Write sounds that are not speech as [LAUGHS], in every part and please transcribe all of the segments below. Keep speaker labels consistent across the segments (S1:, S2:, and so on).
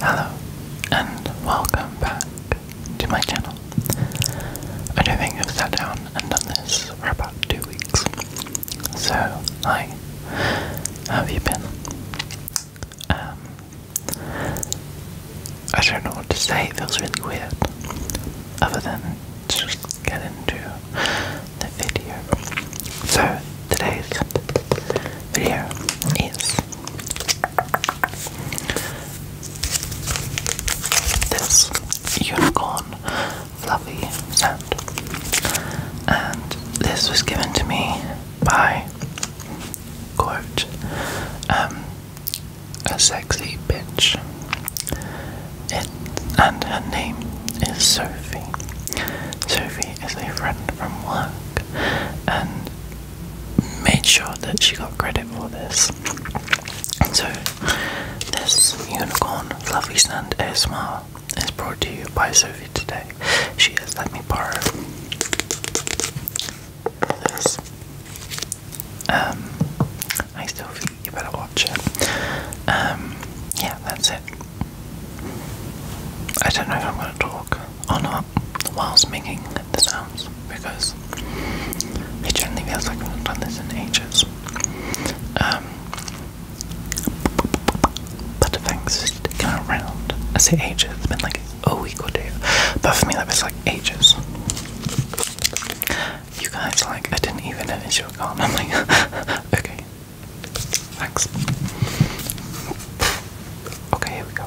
S1: Hello, and welcome back to my channel. I don't think I've sat down and done this for about two weeks. So, hi, how have you been? Um, I don't know what to say, it feels really weird. Other than just get into the video. So, today's video is this unicorn fluffy sound. And this was given to me by quote um a sexy bitch. It, and her name is Sophie. Sophie is a friend from work and made sure that she got credit for this. So, this unicorn fluffy sand ASMR is brought to you by Sophie today. She has let me borrow this. Um, I still you better watch it. Um, yeah, that's it. I don't know if I'm going to talk or not whilst making the sounds because it generally feels like I haven't done this in ages. Um, but thanks for sticking around. I say ages, it's been like a week or two, but for me that was like ages. You guys, like, I didn't even know that you were gone. I'm like, [LAUGHS] okay, Thanks. Okay, here we go.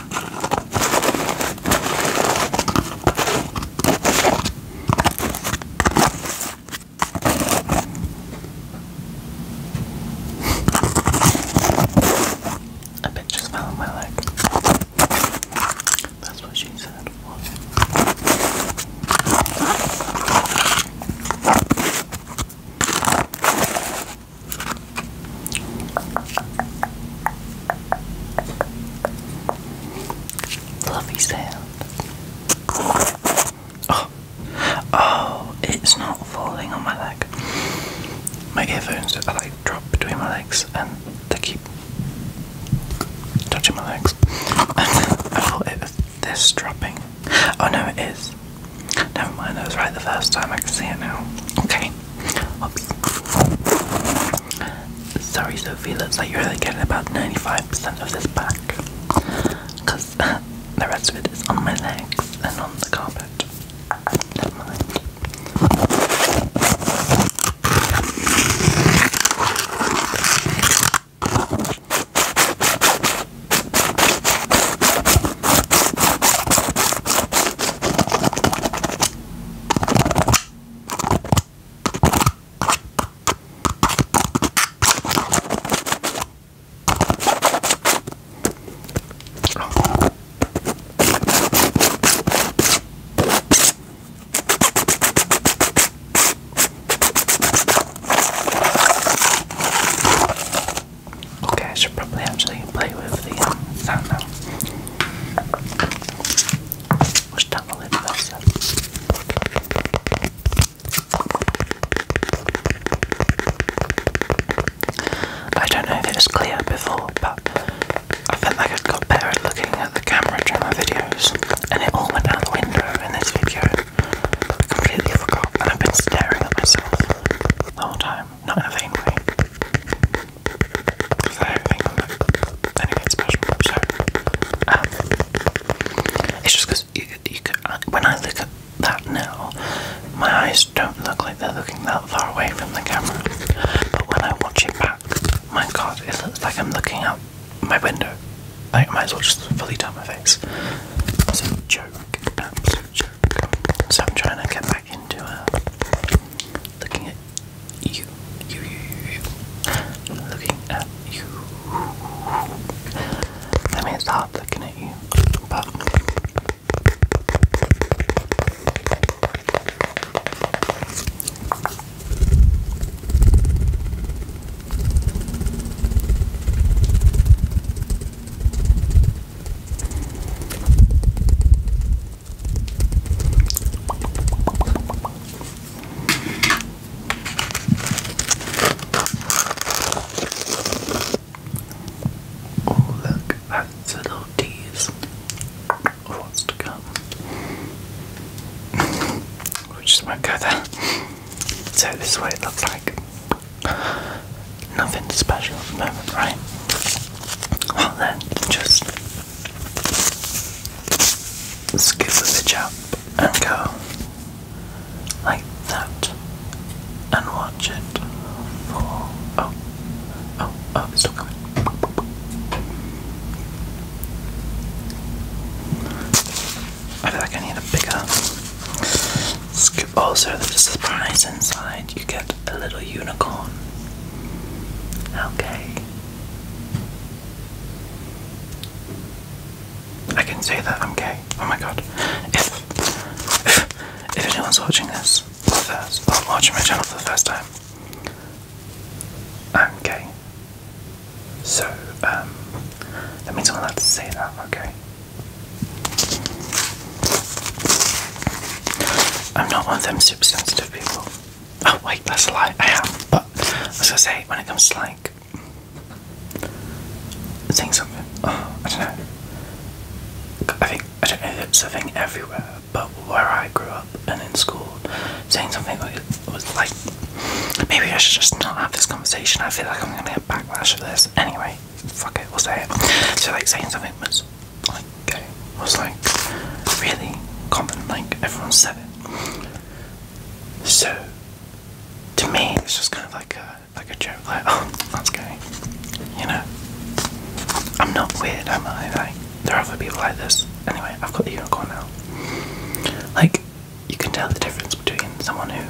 S1: A bit just fell on my leg. That's what she said. What? Fluffy sound. Oh. oh, it's not falling on my leg. My earphones are like dropped between my legs and they keep touching my legs. [LAUGHS] I thought it was this dropping. Oh no, it is. Never mind, I was right the first time. I can see it now. Okay. Oops. Sorry, Sophia. looks like you're only getting about 95% of this back. Because [LAUGHS] the rest of it is on my legs and on the carpet. Never mind. Okay, I should probably actually play with the um, sound now. I don't know if it was clear before, but I felt like I got better at looking at the camera during my videos, and it all went out the window in this video. I completely forgot, and I've been staring at myself the whole time, not in a vain way. Um, it's just because uh, when I look at that now, my eyes don't look like they're looking that far away from the camera. But when I watch it back, my god, it looks like I'm looking out my window. I might as well just fully turn my face. It's a joke, absolute joke. So I'm trying to get back back into her. Uh, looking at you, you, you, you, you. Looking at you. I mean, it's hard looking at you, but. Oh, look, that's a little tease of what's to come. [LAUGHS] we just won't go there. So, this is what it looks like. Nothing special at the moment, right? Well, then, just Scoop the bitch up and go like that and watch it fall. Oh, oh, oh, it's still coming. I feel like I need a bigger scoop. Also, there's a surprise inside. You get a little unicorn. Okay. I can say that I'm gay. Oh my god. If, if, anyone's watching this for the first, watching my channel for the first time, I'm gay. So, um, that means I'm allowed to say that, okay? I'm not one of them super sensitive people. Oh wait, that's a lie. I have, but I was gonna say when it comes to like saying something, oh, I don't know. I think I don't know if it's a thing everywhere, but where I grew up and in school, saying something was like maybe I should just not have this conversation. I feel like I'm gonna get backlash for this. Anyway, fuck it, we'll say it. So like saying something was like was like really common, like everyone said it. So to me, it's just kind of like a like a joke, like oh that's gay, you know. I'm not weird, am I? Like there are other people like this. Anyway, I've got the unicorn now. Like you can tell the difference between someone who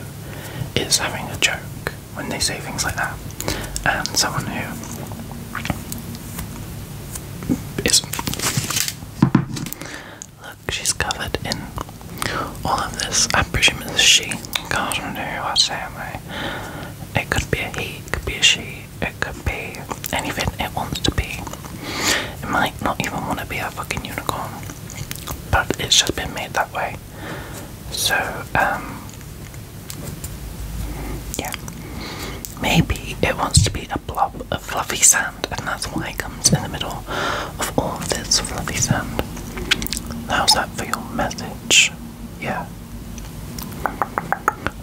S1: is having a joke when they say things like that, and someone who Look, she's covered in all of this. I presume it's she. I don't know what's happening. It could be a he, it could be a she, it could be anything it wants to be. It might not even want to be a fucking unicorn, but it's just been made that way. So, um, yeah. Maybe it wants to be a blob of fluffy sand, and that's why it comes in the middle of all this fluffy sand. How's that for your message? Yeah.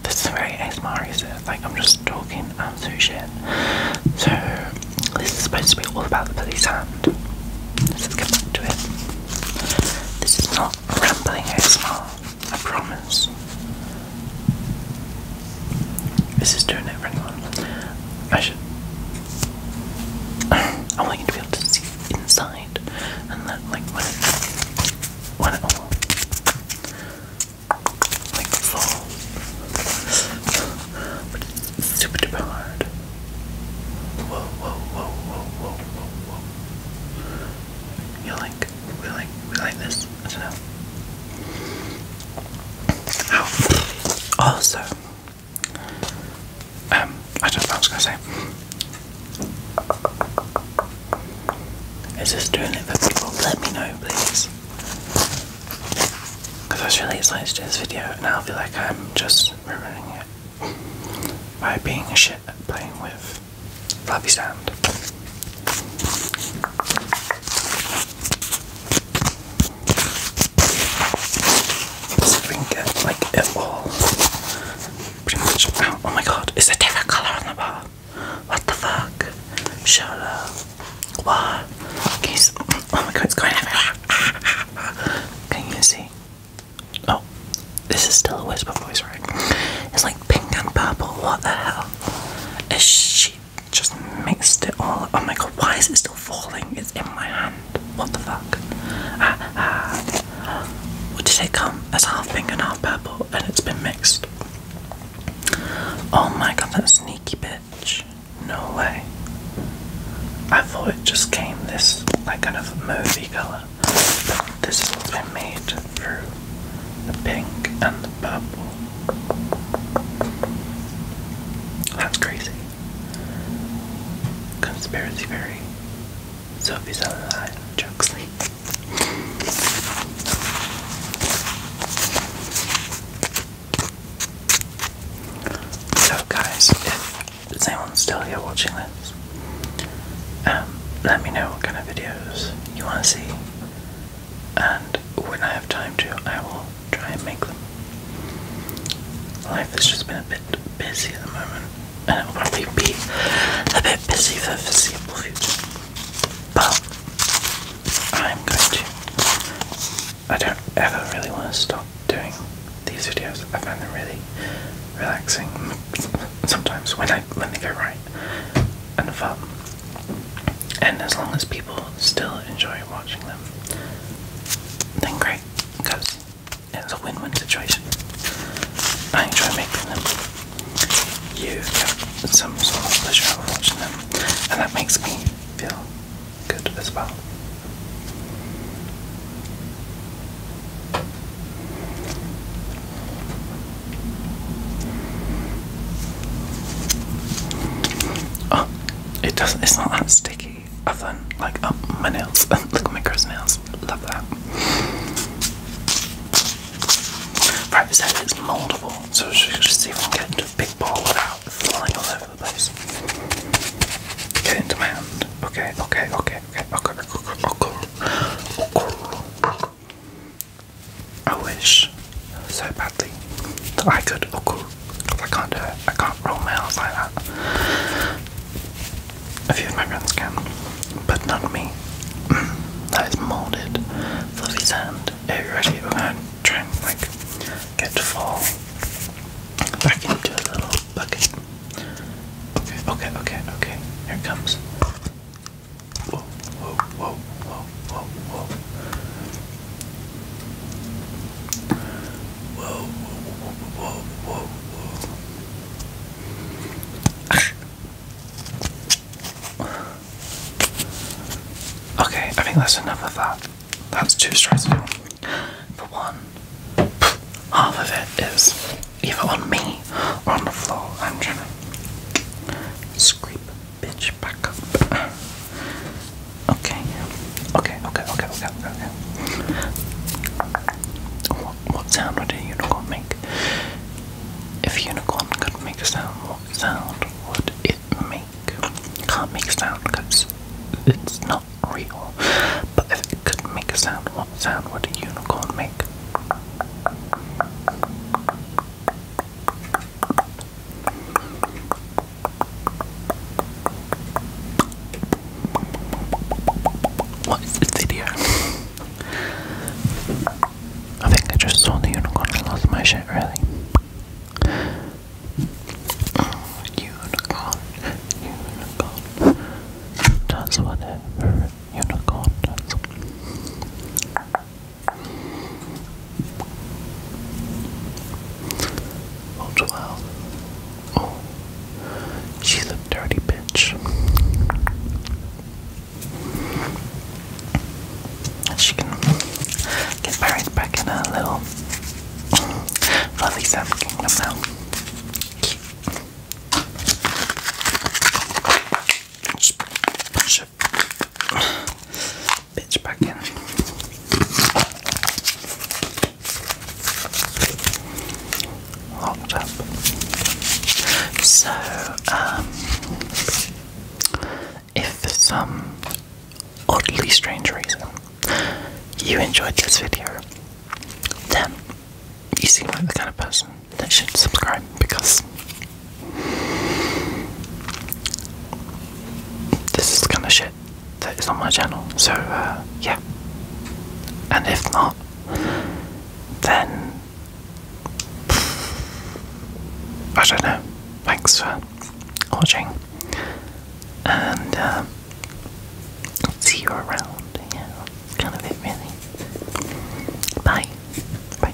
S1: This is very ASMR, is it? Like, I'm just talking absolute shit. So, this is supposed to be all about the fluffy sand. Let's get back to it. This is not rambling ASMR. I promise. This is doing it for anyone. I should. I want you to be able to see inside and that, like, when it, when it all, like, falls. But it's super duper hard. Whoa, whoa, whoa, whoa, whoa, whoa, whoa. you we like we like this. I don't know. Oh, also, um, I don't know what I was gonna say. Is this doing it for people? Let me know, please. Because I was really excited to do this video, and I feel like I'm just ruining it by being a shit playing with floppy sound. Let's see if we can get like it all pretty much out. Oh, oh my god, it's a different color on the bar. What the fuck? Shut up. What? Can you see? Oh my god, it's going everywhere. Can you see? Oh, this is still a whisper voice, right? It's like pink and purple. What the hell? Is she just mixed it all up? Oh my god, why is it still falling? It's in my hand. What the fuck? Ah, ah. What did it come as half pink and half purple and it's been mixed? Oh my god, that sneaky bitch. No way. I thought it just came this like kind of movie colour. But this has been made through the pink and the purple. That's crazy. Conspiracy theory. Sophie's alive. Jokes. So guys, if is anyone still here watching this, um, let me know what kind of videos you want to see and when I have time to, I will try and make them. Life has just been a bit busy at the moment, and it will probably be a bit busy the foreseeable future. But I'm going to. I don't ever really want to stop doing these videos. I find them really relaxing sometimes when I when they go right and as long as people still enjoy watching them, then great, because it's a win-win situation. I enjoy making them. You get some sort of pleasure out of watching them, and that makes me feel good as well. Oh, it doesn't. It's not that sticky. Other than like up oh, my nails. Look at my gross nails. Love that. Right, so it's moldable. So we should just see if we can get a big ball without flying all over the place. Get into my hand. Okay, okay, okay, okay, okay, okay, okay, okay. okay. I wish so badly that I could roll. Because I can't do it. I can't roll nails like that. A few of my friends can, but not me. [CLEARS THROAT] that is molded, fluffy sand. It trying to like get full back into a little bucket. Okay, okay, okay, okay. Here it comes okay, I think that's enough of that. That's too stressful. For one, half of it is either on me on the floor. I'm trying to scrape Bitch, back up. Okay. Okay, okay, okay, okay, okay. What, sound would a unicorn make? If unicorn could make a sound, what sound would it make? Can't make a sound because it's not real. But if it could make a sound, what sound would a unicorn make? What is this video? I think I just saw the unicorn and lost my shit, really. unicorn, unicorn. Does whatever unicorn does. Oh, 12. Oh, she's a dirty bitch. She can get buried back in a little fluffy Sam Kingdom now. Cute bitch back in. Locked up. So, um, if for some oddly strange reason you enjoyed this video, then you seem like the kind of person that should subscribe because this is the kind of shit that is on my channel, so uh, yeah. And if not, then I don't know. Thanks for watching, and um, see you around. Yeah, kind of it, really. Bye. Bye.